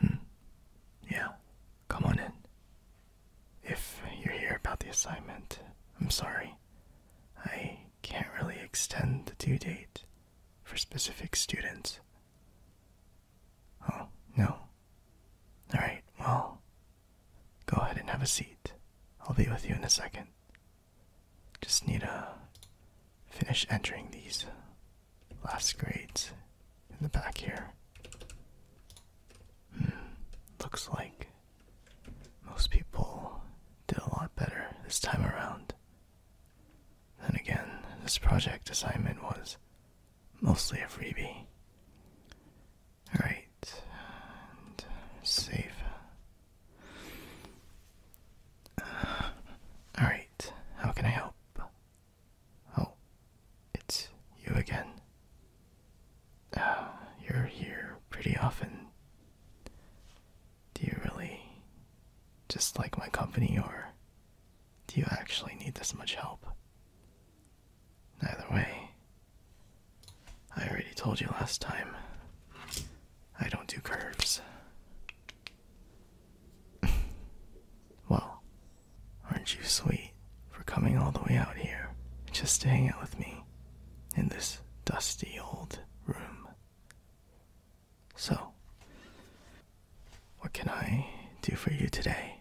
Hmm. Yeah, come on in. If you're here about the assignment, I'm sorry. I can't really extend the due date for specific students. Oh, no. Alright, well, go ahead and have a seat. I'll be with you in a second. Just need to finish entering these last grades in the back here. Hmm, looks like most people did a lot better this time around. And again, this project assignment was mostly a freebie. Alright, and save. Alright, how can I help? Oh, it's you again. you're here pretty often. Do you really just like my company, or do you actually need this much help? Either way, I already told you last time. I don't do curves. well, aren't you sweet for coming all the way out here just to hang out with me in this dusty old room? So, what can I do for you today?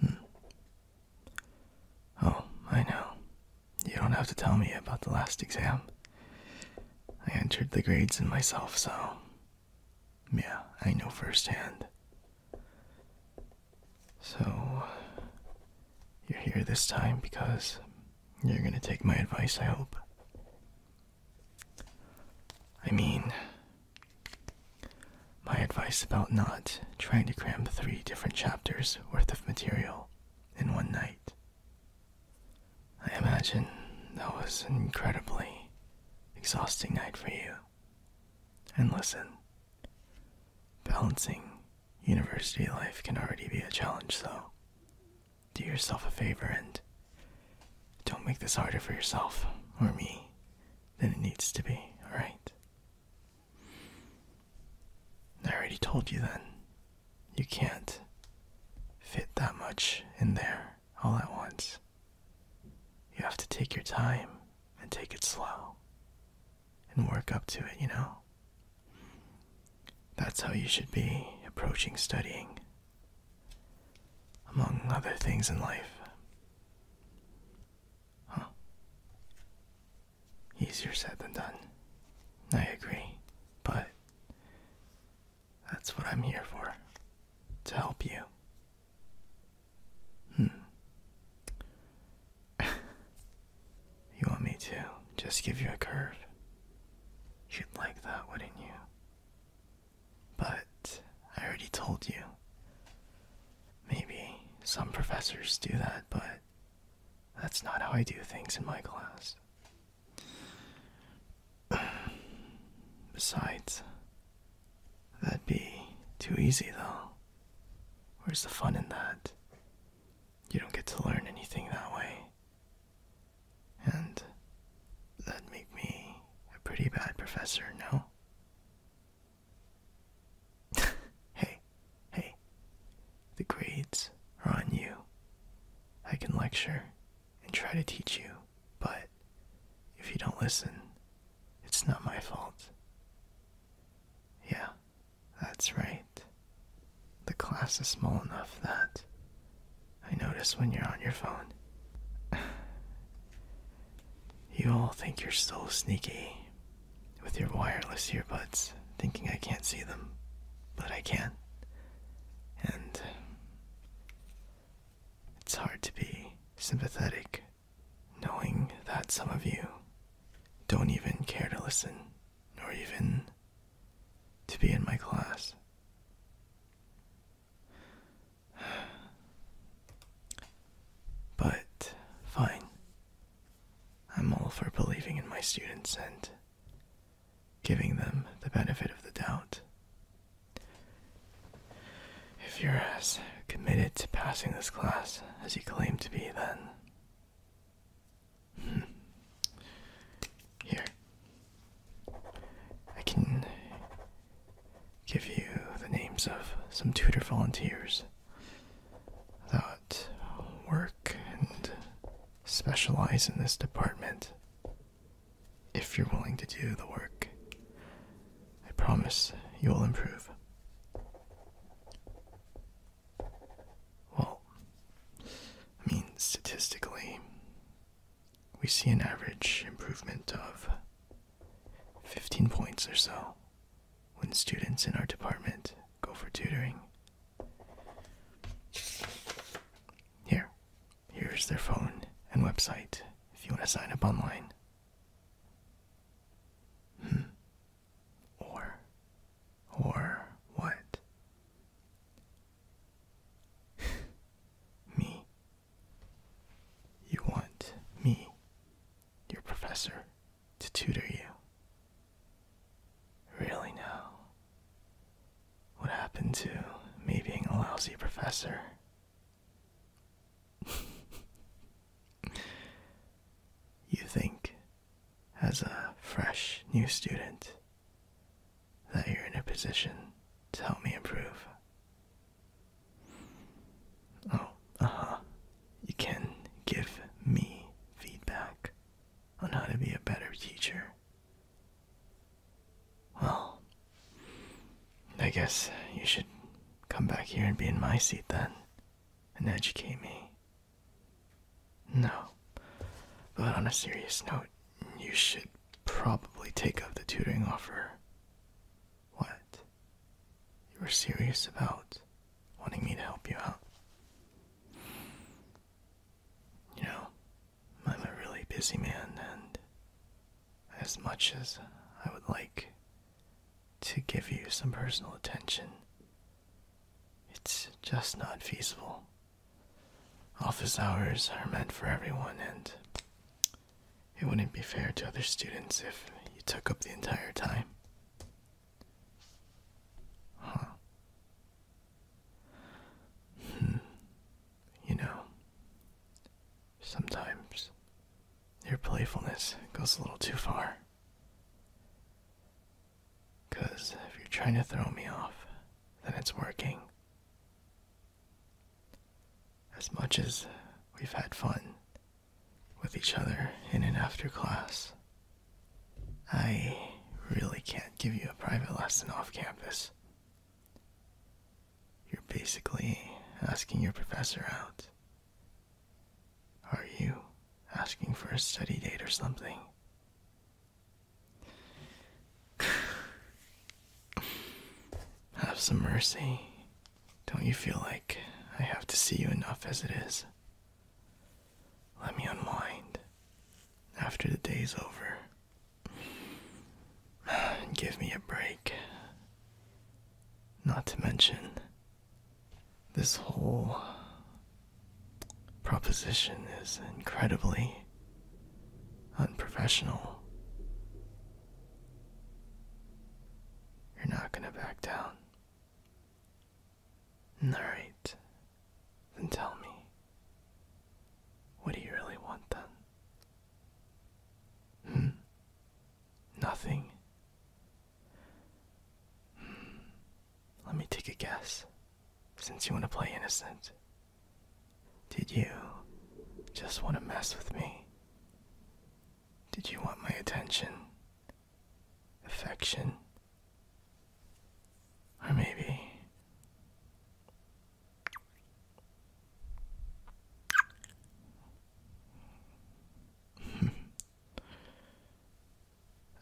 Hmm. Oh, I know. You don't have to tell me about the last exam. I entered the grades in myself, so. Yeah, I know firsthand. So, you're here this time because you're gonna take my advice, I hope. I mean, my advice about not trying to cram three different chapters worth of material in one night. I imagine that was an incredibly exhausting night for you. And listen, balancing university life can already be a challenge, so do yourself a favor and don't make this harder for yourself or me than it needs to be, alright? I already told you then. You can't fit that much in there all at once. You have to take your time and take it slow and work up to it, you know? That's how you should be approaching studying, among other things in life. Huh? Easier said than done. I agree, but that's what I'm here for to help you. Hmm. you want me to just give you a curve? You'd like that, wouldn't you? But I already told you. Maybe some professors do that, but that's not how I do things in my class. Besides, that'd be too easy though. Where's the fun in that? You don't get to learn anything that way. And that'd make me a pretty bad professor, no? hey, hey, the grades are on you. I can lecture and try to teach you, but if you don't listen, it's not my fault. Yeah, that's right. The class is small enough that I notice when you're on your phone. you all think you're so sneaky, with your wireless earbuds, thinking I can't see them, but I can. And it's hard to be sympathetic knowing that some of you don't even care to listen, nor even to be in my class. But fine, I'm all for believing in my students and giving them the benefit of the doubt. If you're as committed to passing this class as you claim to be, then. Hmm, here. I can give you the names of some tutor volunteers that work and specialize in this department if you're willing to do the work. I promise you will improve. Well, I mean, statistically, we see an average improvement of 15 points or so when students in our department go for tutoring. Here, here's their phone and website if you want to sign up online. Hmm. Or, or what? me. You want me, your professor, to tutor you. Really now? What happened to me being a lousy professor? you think, as a fresh new student, that you're in a position to help me improve. Oh, uh you can give me feedback on how to be a better teacher. Well, I guess you should come back here and be in my seat then and educate me. No, but on a serious note, you should probably take up the tutoring offer. What? you were serious about wanting me to help you out. You know, I'm a really busy man, and as much as I would like to give you some personal attention, it's just not feasible. Office hours are meant for everyone, and it wouldn't be fair to other students if you took up the entire time. Huh. Hmm. You know, sometimes your playfulness goes a little too far. Because if you're trying to throw me off, then it's working. As much as we've had fun, with each other in an after class. I really can't give you a private lesson off campus. You're basically asking your professor out. Are you asking for a study date or something? Have some mercy don't you feel like I have to see you enough as it is? Let me unwind after the day's over give me a break. Not to mention, this whole proposition is incredibly unprofessional. You're not gonna back down. Alright, then tell me. What do you really want then? Hmm? Nothing? Hmm. Let me take a guess. Since you want to play innocent, did you just want to mess with me? Did you want my attention? Affection? Or maybe.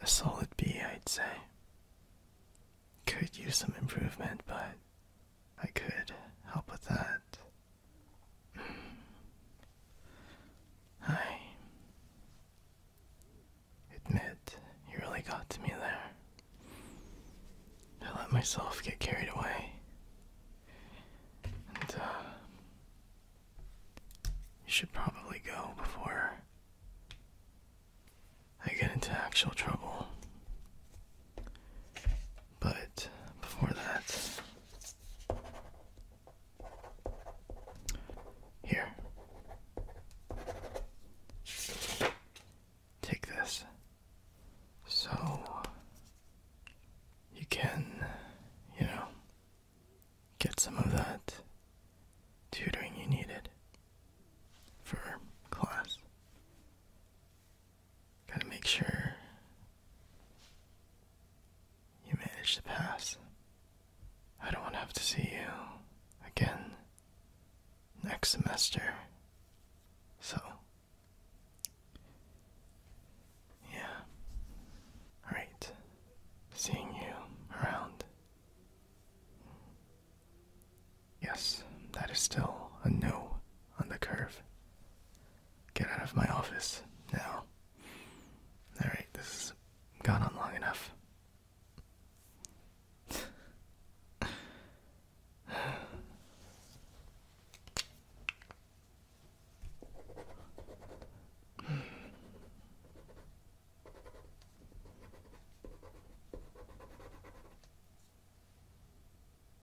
A solid B, I'd say. Could use some improvement, but I could help with that. I admit you really got to me there. I let myself get carried away. And, uh, you should probably go before I get into actual trouble. But before that, here, take this so you can, you know, get some of that tutoring you needed for class. Gotta make sure you manage to pass. I don't want to have to see you again next semester. So, yeah. Alright. Seeing you around. Yes, that is still a no on the curve. Get out of my office now. Alright, this has gone on long enough.